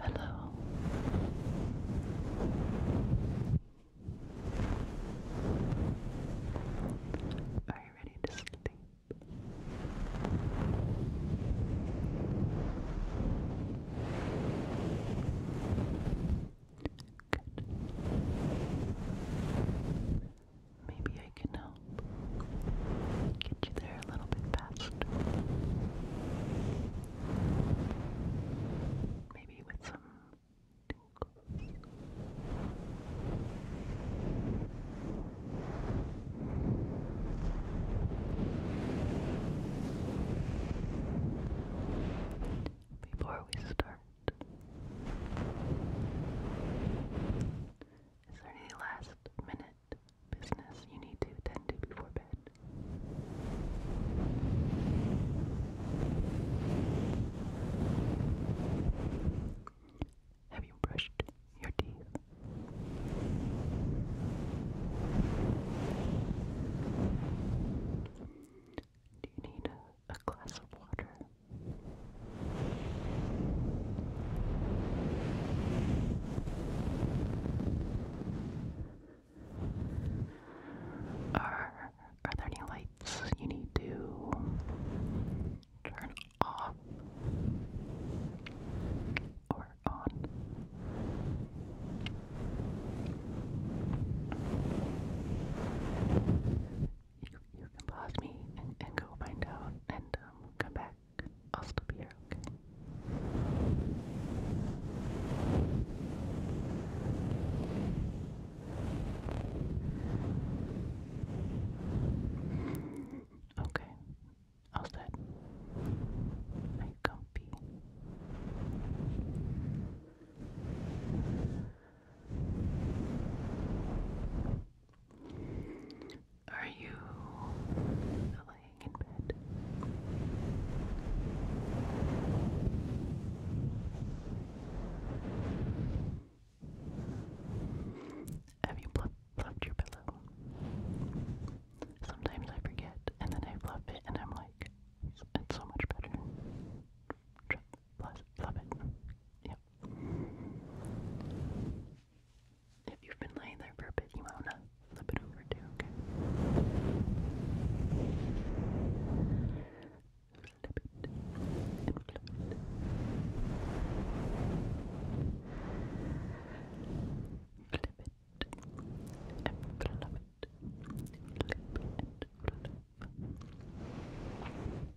Hello. Are you ready to sleep? Good. Maybe I can help get you there a little bit faster. Maybe with some Before we start, is there any last minute business you need to attend to before bed. Have you brushed your teeth? Do you need a glass of water? Are, are there any lights you need to turn off or on? You, you can pause me and, go find out and um, come back. I'll still be here, okay? Okay. How's that? Are you comfy? Are you laying in bed? Have you fluff, your pillow? Sometimes I forget, and then I fluff it, and I'm like, it's so much better. Just fluff, fluff it. Yep. If you've been laying there for a bit, you might want to flip it over too, okay? Flip it flip it. Flip it flip it. Flip and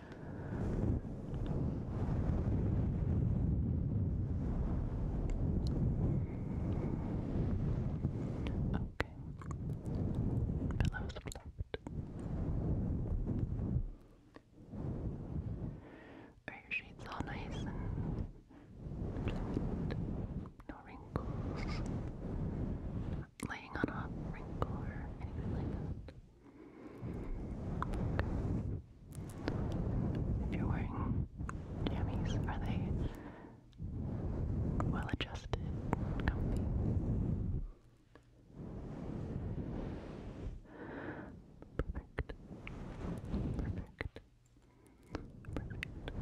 Okay. Pillows float. Are your sheets all nice and fluid? No wrinkles? laying on a wrinkle or anything like that? If you're wearing jammies, are they well adjusted, comfy? Perfect. Perfect. Perfect.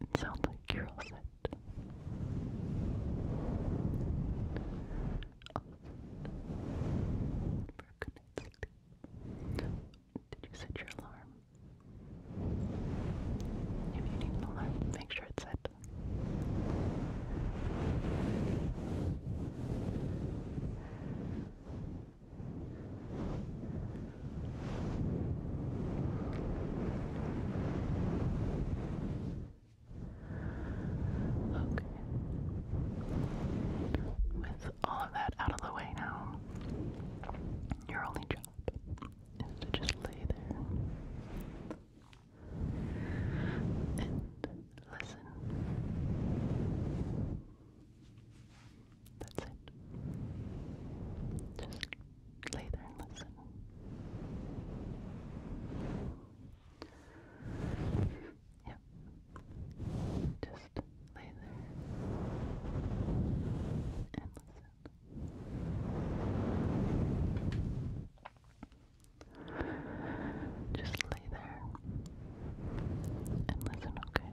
It sounds like you're all set. For a Did you set your alarm? If you need an alarm, make sure it's set. Okay. With all of that out of the way now, your only job is to just lay there and listen. That's it. Just lay there and listen. Yep. Just lay there and listen. Just lay there and listen, okay?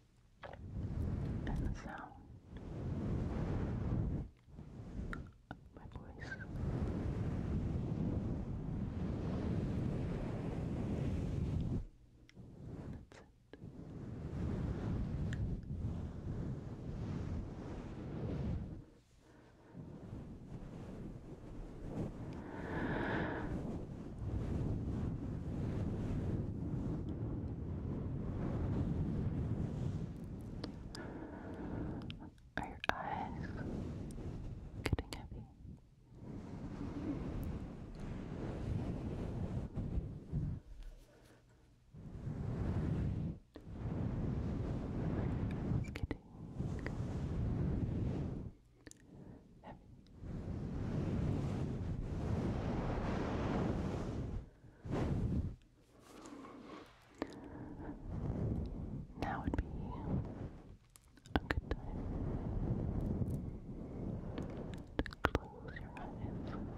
and the sound of my voice. That's it. Are your eyes getting heavy? It's getting heavy. Now would be a good time to close your eyes and go to sleep.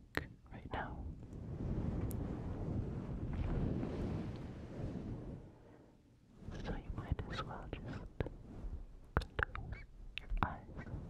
break right now. So you might as well just close your eyes. And go to sleep.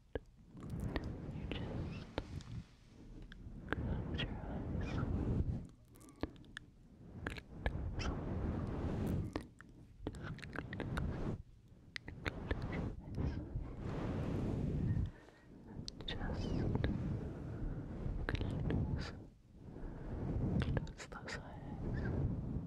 You just close your eyes. Just close. Close those eyes.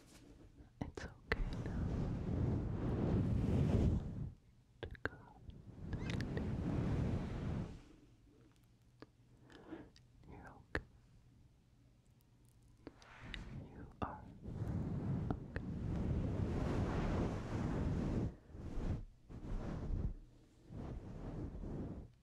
It's okay now to go You're okay. You are okay.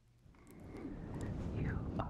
You are safe. You are safe.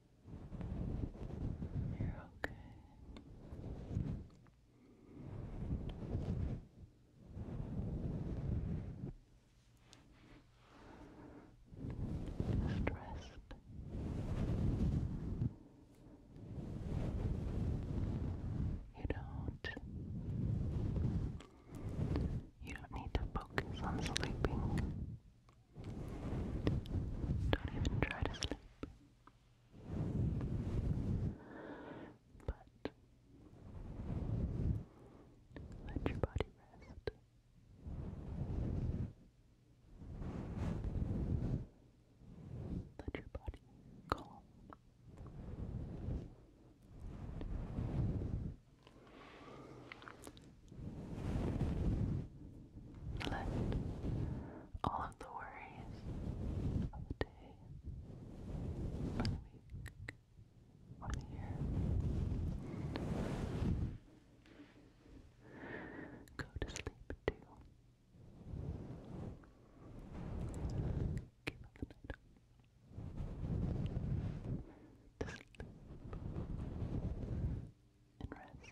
You're okay. Just You don't. You don't need to focus on sleeping. Don't even try to sleep. But let your body rest. Let your body calm. Let all of the worries of the day, or the week, or the year go to sleep too. Give night. sleep and rest.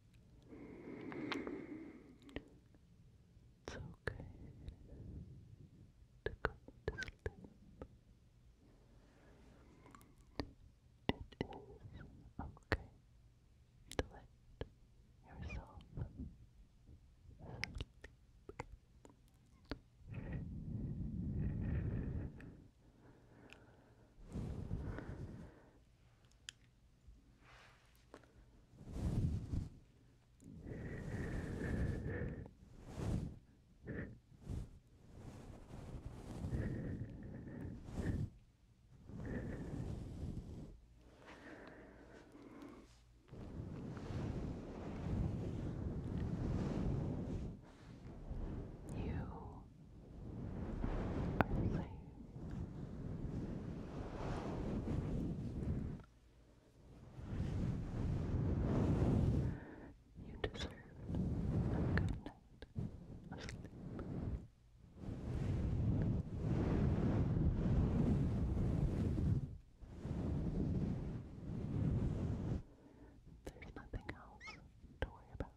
It's okay to go It is okay to let yourself you are safe. You deserve a good night of sleep. There's nothing else to worry about.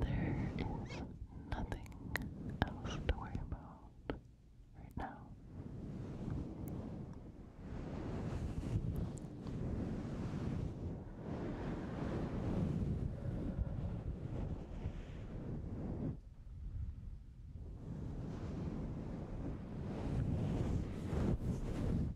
There is nothing else to worry about right now.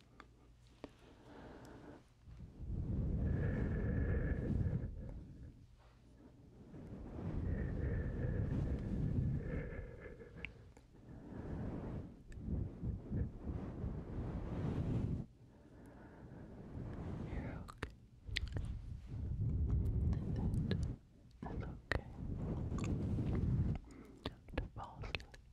You're okay. That is okay. do fall asleep.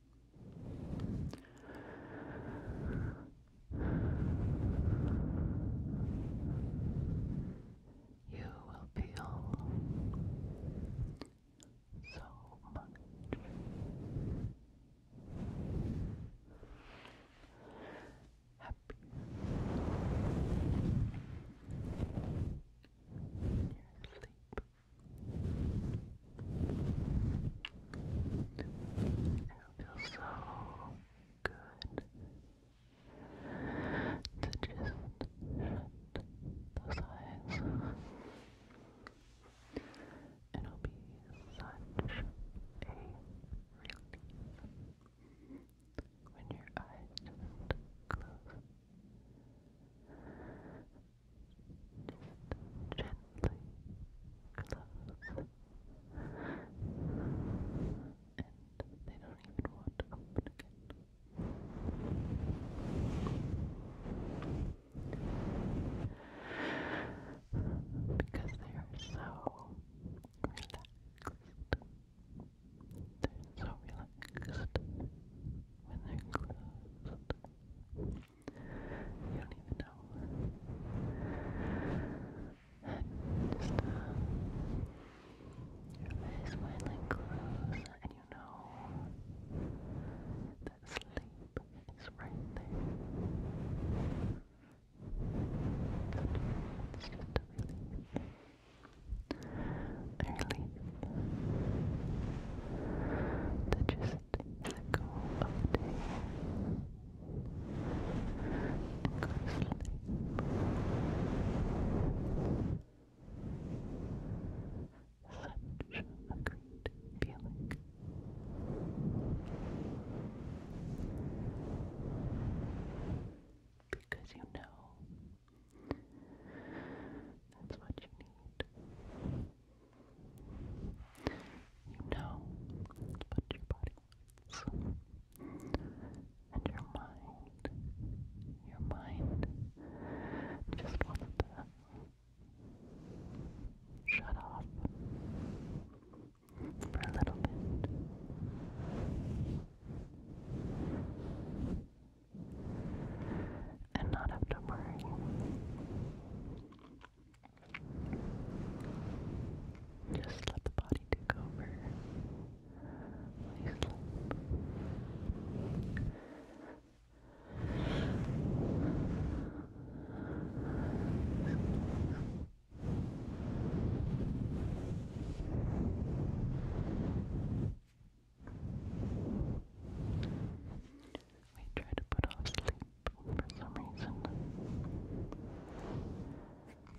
You will be so much happier it feels so good to just shut those eyes. It'll be such a relief when your eyes just close gently close and they don't even want to open again because they are so relaxed so relaxed when they're closed you don't even know. just, uh, your eyes and you know that sleep is right there. It's just a that you let go of day and go to sleep. Such a great feeling. Because you know that's what you need. You know what your body And your mind, your mind just wants to shut off for a little bit. And not have to worry just let the body take over. Lay sleep we try to put off sleep for some reason.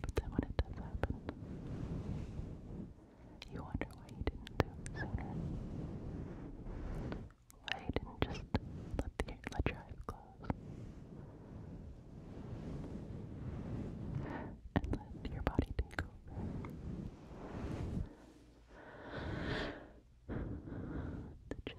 But then when it does happen, you wonder why you didn't do it sooner. Why you didn't just let, the, let your eyes close. And let your body take over just rest Relax.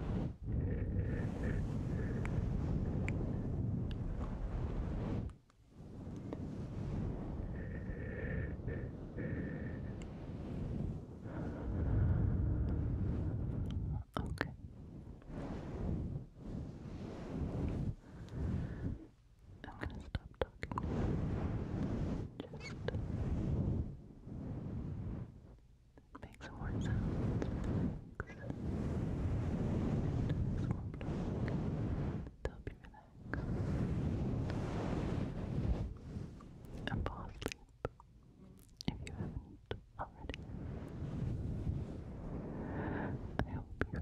Okay. I'm going to stop talking. Just it makes more sounds. Relax. It will help you relax. And fall if you haven't already. I you're